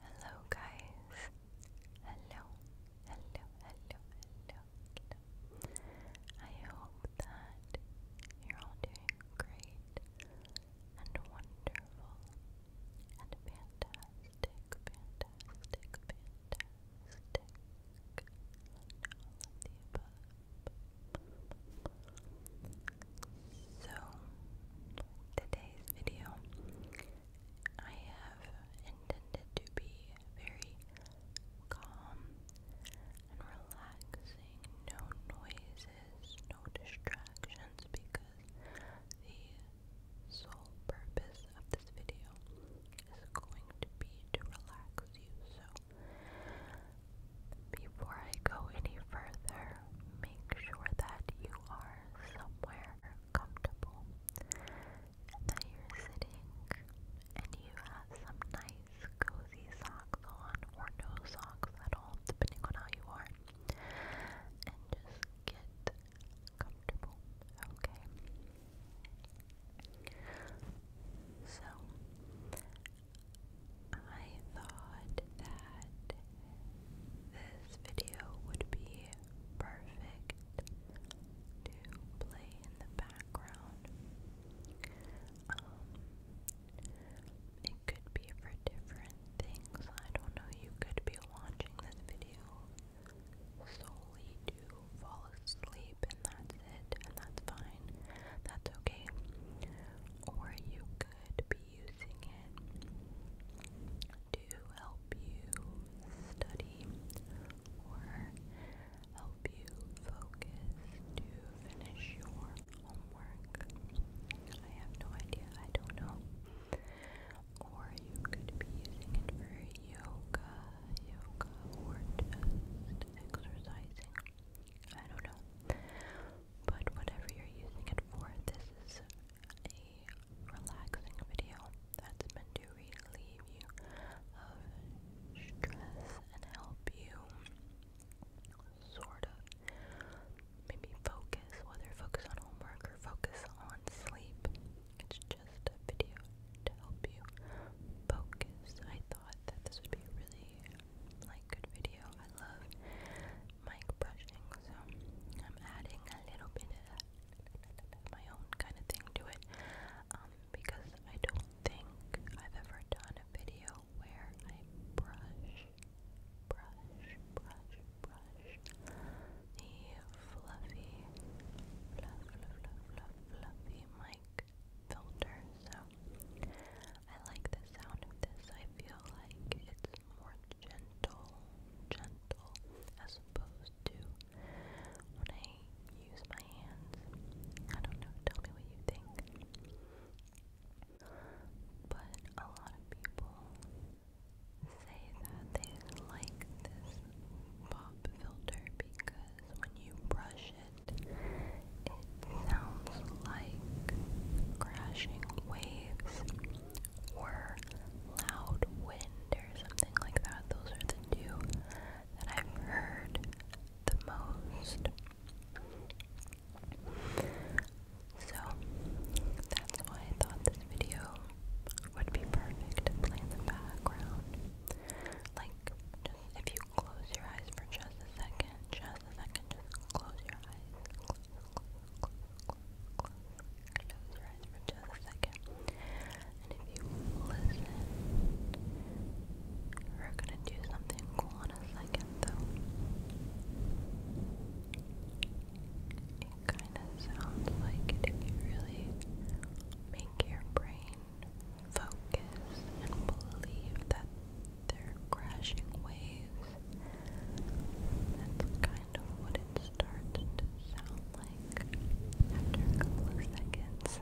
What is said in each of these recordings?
Hello guys. Hello. Hello. Hello. Hello. I hope that you're all doing great and wonderful and fantastic, fantastic, fantastic. all the above. So, today's video, I have intended to be very calm and relaxing, no noises, no distractions, because the sole purpose of this video is going to be to relax you. So, before I go any further, make sure that you are are somewhere comfortable that you're sitting and you have some nice cozy socks on or no socks at all, depending on how you are, and just get comfortable, okay? So, I thought that this video would be perfect to play in the background. Um, it could be for different things. I don't know. You could be watching this video solely to fall asleep, and that's it, and that's fine. That's okay. Or you could be using it to help you study or help you focus to finish your homework. I have no idea, I don't know. Or you could be using it for yoga, yoga, or just exercising. I don't know. But whatever you're using it for, this is a relaxing video that's meant to relieve you of stress and help you sort of maybe focus, whether focus on homework or focus on sleep. It's just a video to help you focus. I thought that this would be really like good video. I love mic brushing, so I'm adding a little bit of my own kind of thing to it um, because I don't think I've ever done a video where I brush, brush, brush, brush the fluffy, fluff, fluff, fluffy mic filter. So I like the sound of this. I feel like it's more gentle, gentle, as opposed to when I use my hands. I don't know, tell me what you think. But a lot of people say that they like this pop filter because when you brush it, it sounds like crashing waves or loud wind or something like that. Those are the two that I've heard the most. So that's why I thought this video would be perfect to play in the background. Like, just if you close your eyes for just a second, just a second, just close your eyes, Close your eyes for just a second. And if you listen, we're gonna do something cool in a second though. It kinda sounds like if really make your brain focus and believe that they're crashing waves. That's kind kind what it starts to sound like after a couple of seconds. So,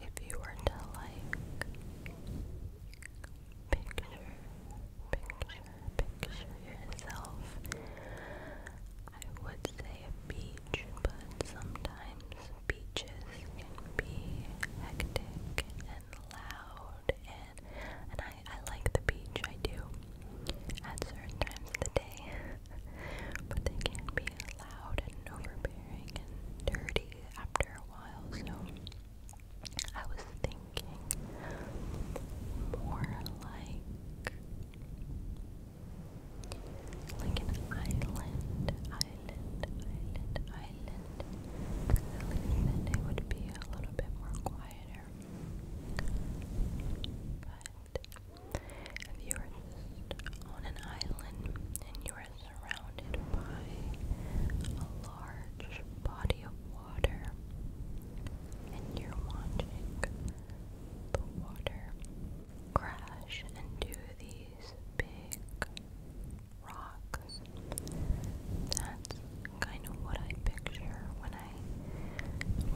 if you were to like picture, picture yourself. I would say a beach, but sometimes beaches can be hectic and loud, and and I I like the beach, I do, at certain times of the day, but they can be loud and overbearing and dirty after a while, so. I was thinking more like like an island, island, island, island. At least then it would be a little bit more quieter. But if you were on an island and you were are surrounded by a large body of water, and you're watching the water crash into these big rocks. That's kind of what I picture when I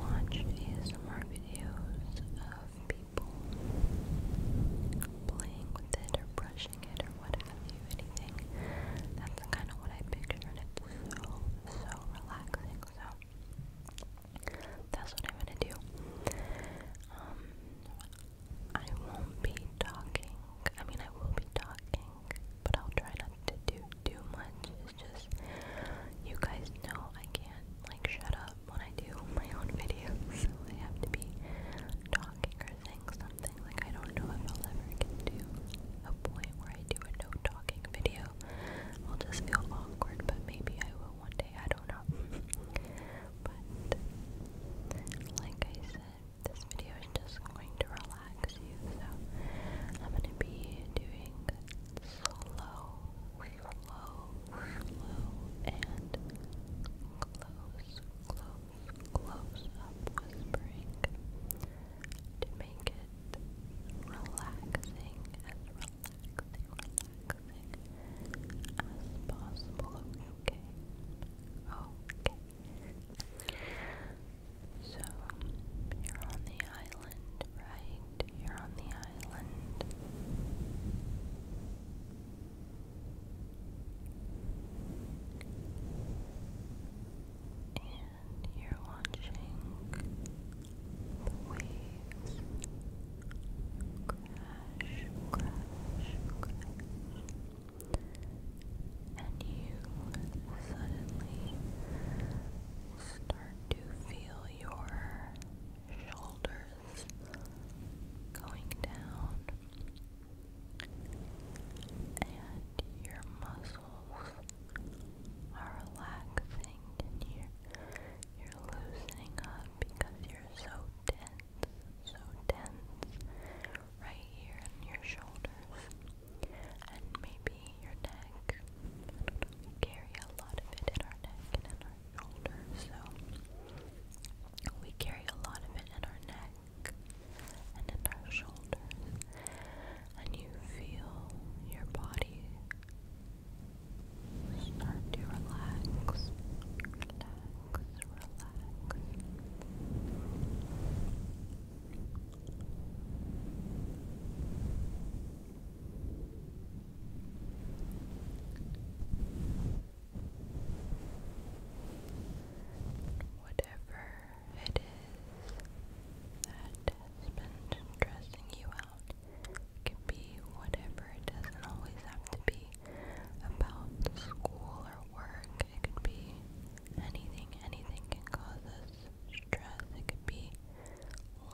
watch ASMR videos of people playing with it or brushing or what you, anything. That's kind of what I pictured. It's so, so relaxing. So that's what I'm gonna do. Um, I won't be talking. I mean, I will be talking, but I'll try not to do too much. It's just you guys know I can't like shut up when I do my own videos, so I have to be talking embarrassing, something like I don't know if I'll ever get to a point where I do a no talking video. I'll just feel awkward, but maybe I will one day, I don't know. but like I said, this video is just going to relax you, so I'm gonna be doing slow, slow, slow, and close, close, close-up whispering to make it relaxing as relaxing, as possible. Okay, okay. So you're on the island, right? You're on the island. And you're watching the waves crash, crash, crash. And you suddenly start to feel your shoulders going down and your muscles are relaxing and you're, you're loosening up because you're so tense, so tense right here in your shoulders and maybe your neck. we carry a lot of it in our neck and in our shoulders, so we carry a lot of it in our neck and in our shoulders, and you feel your body start to relax, relax, relax. What whatever it is that has been stressing you out. can be whatever, it doesn't always have to be about school or work. It could be anything, anything can cause us stress. It could be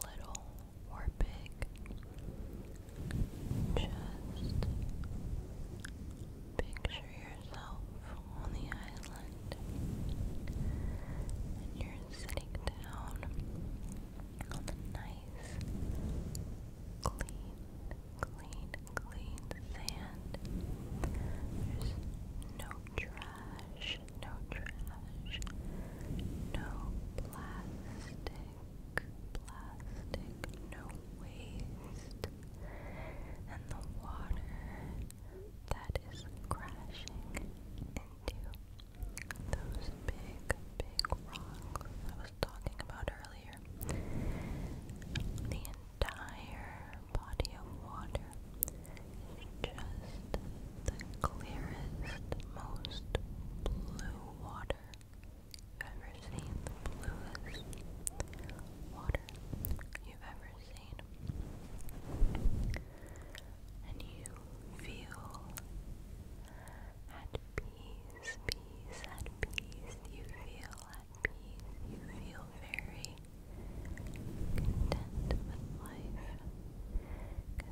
little or big. Just Picture yourself on the island and you're sitting down on nice, clean, clean, clean sand. There's no trash, no trash, no plastic, plastic, no waste and the water that is crashing into those big, big rocks I was talking about earlier. The entire body of water is just the clearest, most blue water you've ever seen. The bluest water you've ever seen, and you feel at peace, peace, at peace, you feel at peace, you feel very content with life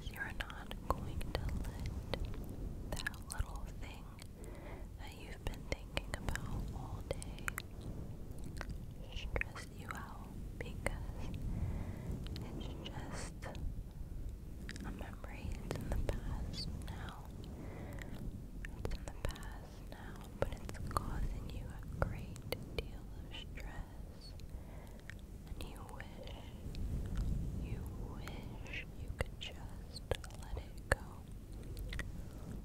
you're not going to let that little thing that you've been thinking about all day stress you out because it's just a memory. It's in the past now. It's in the past now, but it's causing you a great deal of stress. And you wish, you wish you could just let it go.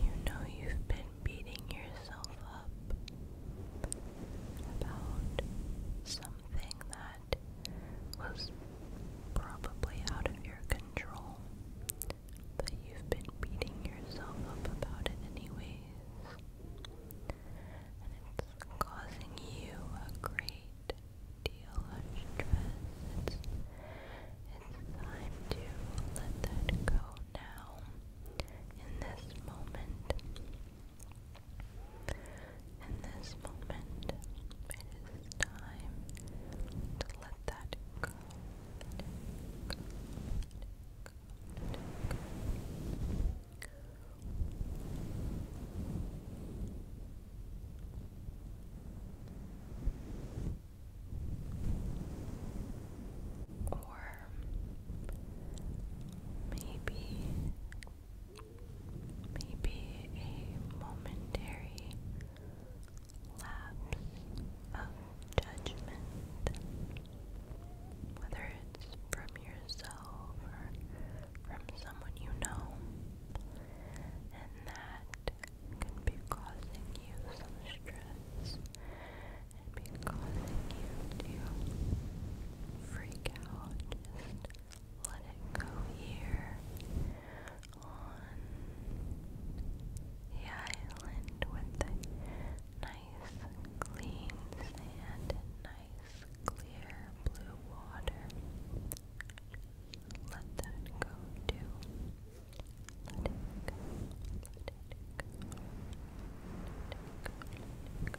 You know you've been beating yourself up about something that was probably out of your control, but you've been beating yourself up about it anyways, and it's causing you a great deal of stress. it's time to let that go now, in this moment. In this moment, it is time to let that go. Or maybe maybe a momentary lapse of judgment, whether it's from yourself or from someone you know, and that can be causing you some stress and be causing you to freak out, let it go here on the island with the nice clean sand and nice clear blue water. Let that go too. Let it go. Let it go. Let it go.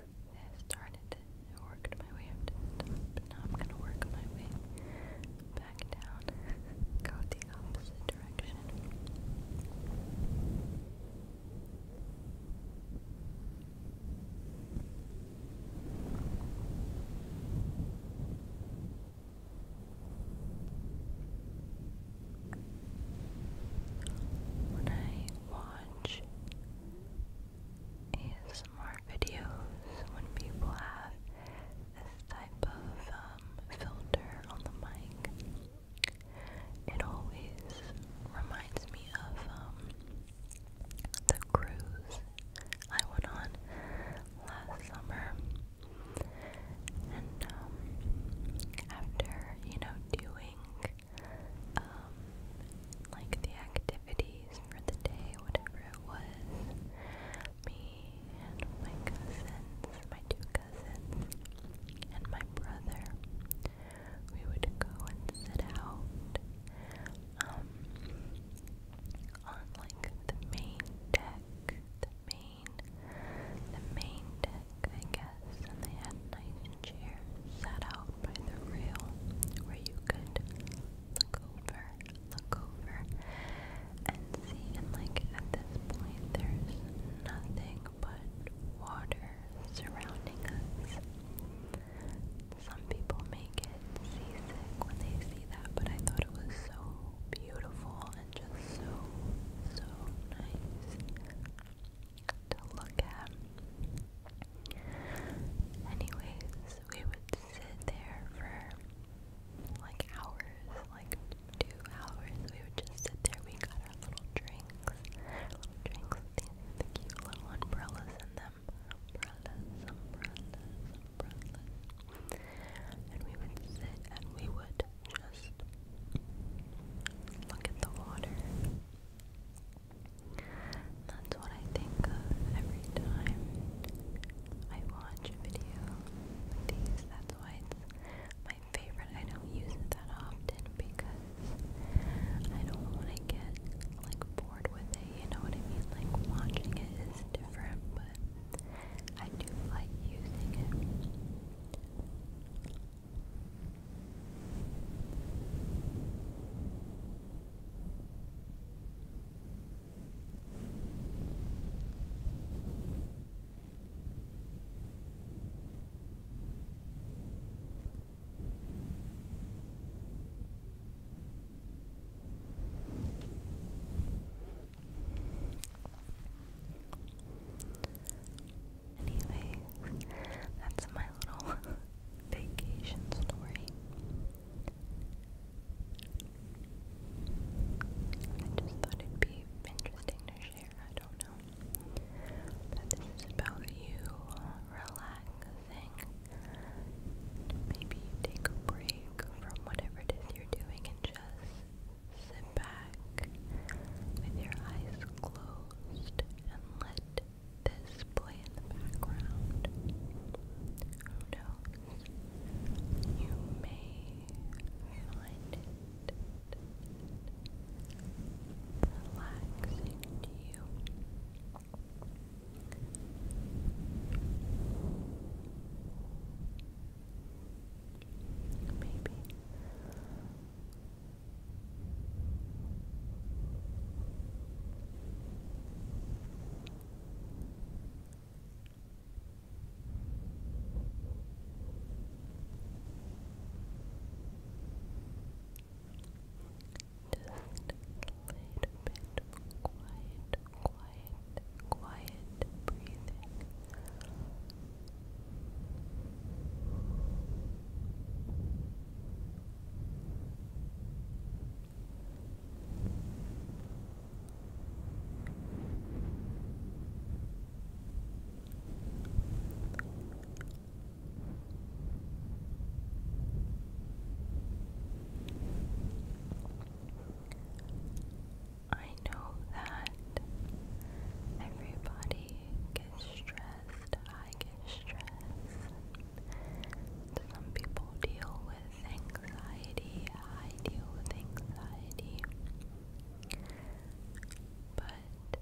I started it, worked my way up but now I'm gonna work my way back down, go the opposite direction. When I watch ASMR videos when people have this type of um, filter on the mic. It always reminds me of um, the cruise I went on last summer. And um, after, you know, doing like the activities for the day, whatever it was. Me and my cousins, my two cousins, and my brother, we would go and sit out um, on like the main deck, the main, the main deck. I guess, and they had nice chairs set out by the rail where you could look over, look over, and see. And like at this point, there's nothing but water surrounding us. Some people may get seasick when they see that, but I thought it was so beautiful and just so, so nice to look at. Anyways, we would sit there for like hours, like two hours. We would just sit there. We got our little drinks, little drinks with these the cute little umbrellas in them. Umbrellas, umbrellas, umbrellas. And we would sit and we would just look at the water. That's what I think of every time I watch a video these. That's why my favorite. I don't use it that often because I don't want to get like bored with it. You know what I mean? Like watching it is different, but I do like using it. Anyways, that's my little vacation story. I just thought it'd be interesting to share. I don't know. But this is about you relaxing. Maybe take a break from whatever it is you're doing and just sit back with your eyes closed and let this play in the background. Who You may find it relaxing to you. Maybe bit quiet, quiet, quiet breathing. I know that everybody gets stressed. I get stress. Some people deal with anxiety. I deal with anxiety. But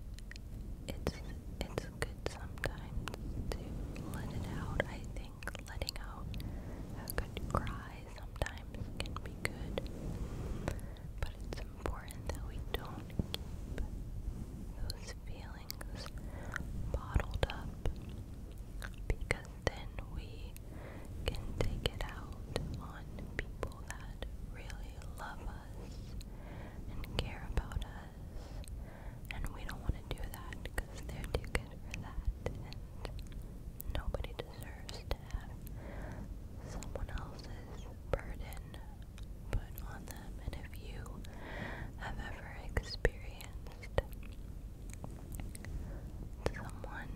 it's it's good sometimes to let it out. I think letting out a good cry sometimes can be good. But it's important that we don't keep those feelings feelings bottled up because then we can take it out on people that really love us and care about us and we don't want to do that because they're too good for that and nobody deserves to have someone else's burden put on them and if you have ever experienced experienced someone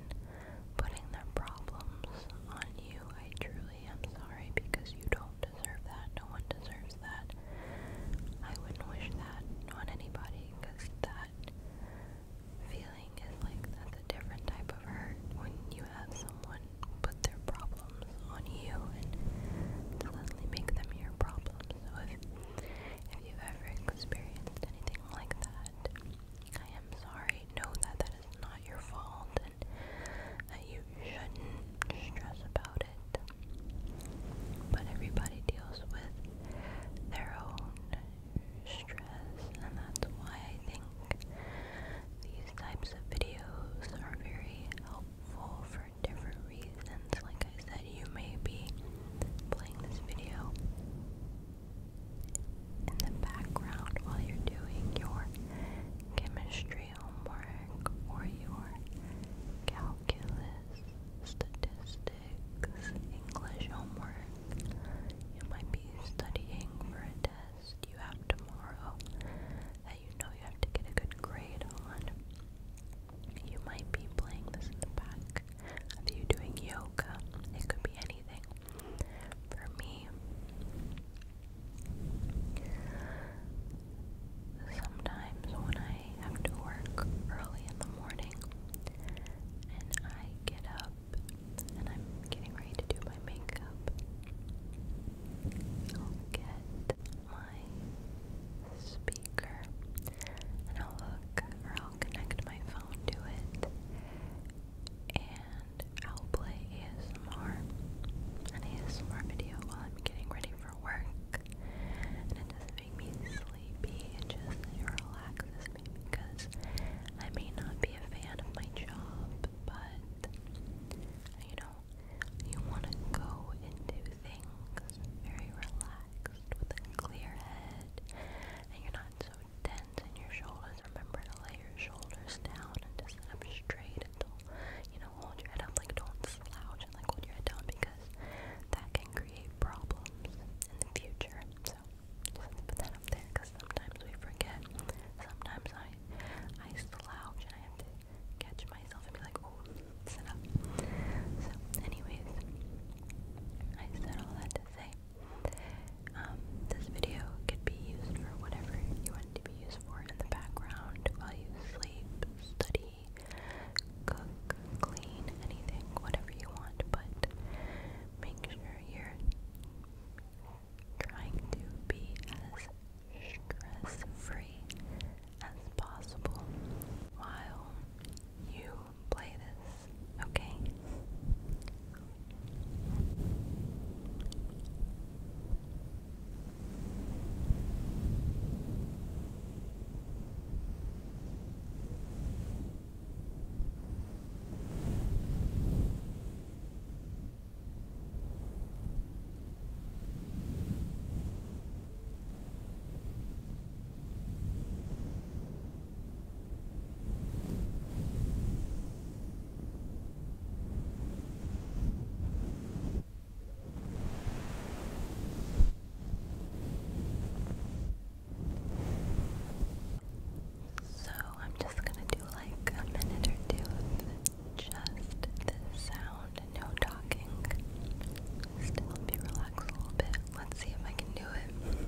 putting their problems on you. I truly am sorry because you don't deserve that. No one deserves that. I wouldn't wish that on anybody because that feeling is like that's a different type of hurt when you have someone put their problems on you and suddenly make them your problem. If you've ever experienced anything like that, I am sorry. Know that that is not your fault and that you shouldn't stress about it. But everybody deals with their own stress, and that's why I think these types of videos are very helpful for different reasons. Like I said, you may be playing this video in the background while you're doing your chemistry homework or your calculus, statistics, English homework. You might be studying for a test you have tomorrow that you know you have to get a good grade on. You might be playing this in the back of you doing yoga. It could be anything. For me, sometimes when I have to work early in the morning and I get up and I'm getting ready to do my makeup, I'll get my my speaker and I'll hook or I'll connect my phone to it and I'll play ASMR, an ASMR video while I'm getting ready for work and it does me sleepy, it just relaxes me because I may not be a fan of my job but you know, you want to go into things very relaxed with a clear head and you're not so tense in your shoulders. Remember to lay your shoulders down and just sit up straight and you know, hold your head up. Like, don't slouch and like hold your head down because that can create problems in the future. So, just put that up there because sometimes we forget. Sometimes I, I slouch and I have to catch myself and be like, oh, so, anyways, I said all that to say, um, this video could be used for whatever you want to be used for in the background while you sleep, study, cook, clean, anything, whatever you want, but make sure you're trying to be as stress-free as possible while you play this, okay? So I'm just going to do like a minute or two of just the sound no talking. Just help you relax a little bit. Let's see if I can do it.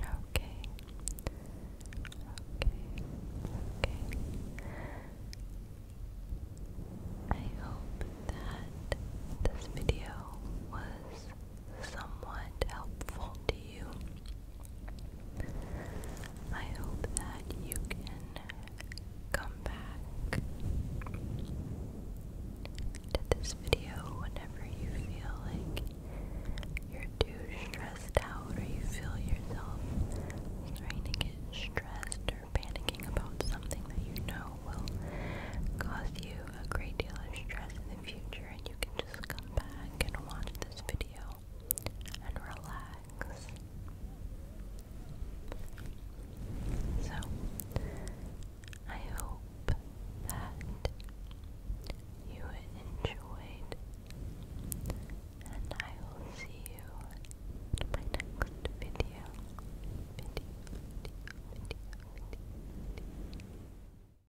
Okay. Okay. Okay. I hope that this video was somewhat helpful to you. I hope that you can come back to this video whenever you feel like you're too stressed out or you feel yourself trying to get stressed or panicking about something that you know will cause you a great deal of stress in the future and you can just come back and watch this video and relax. So, I hope that you enjoyed, and I will see you in my next video.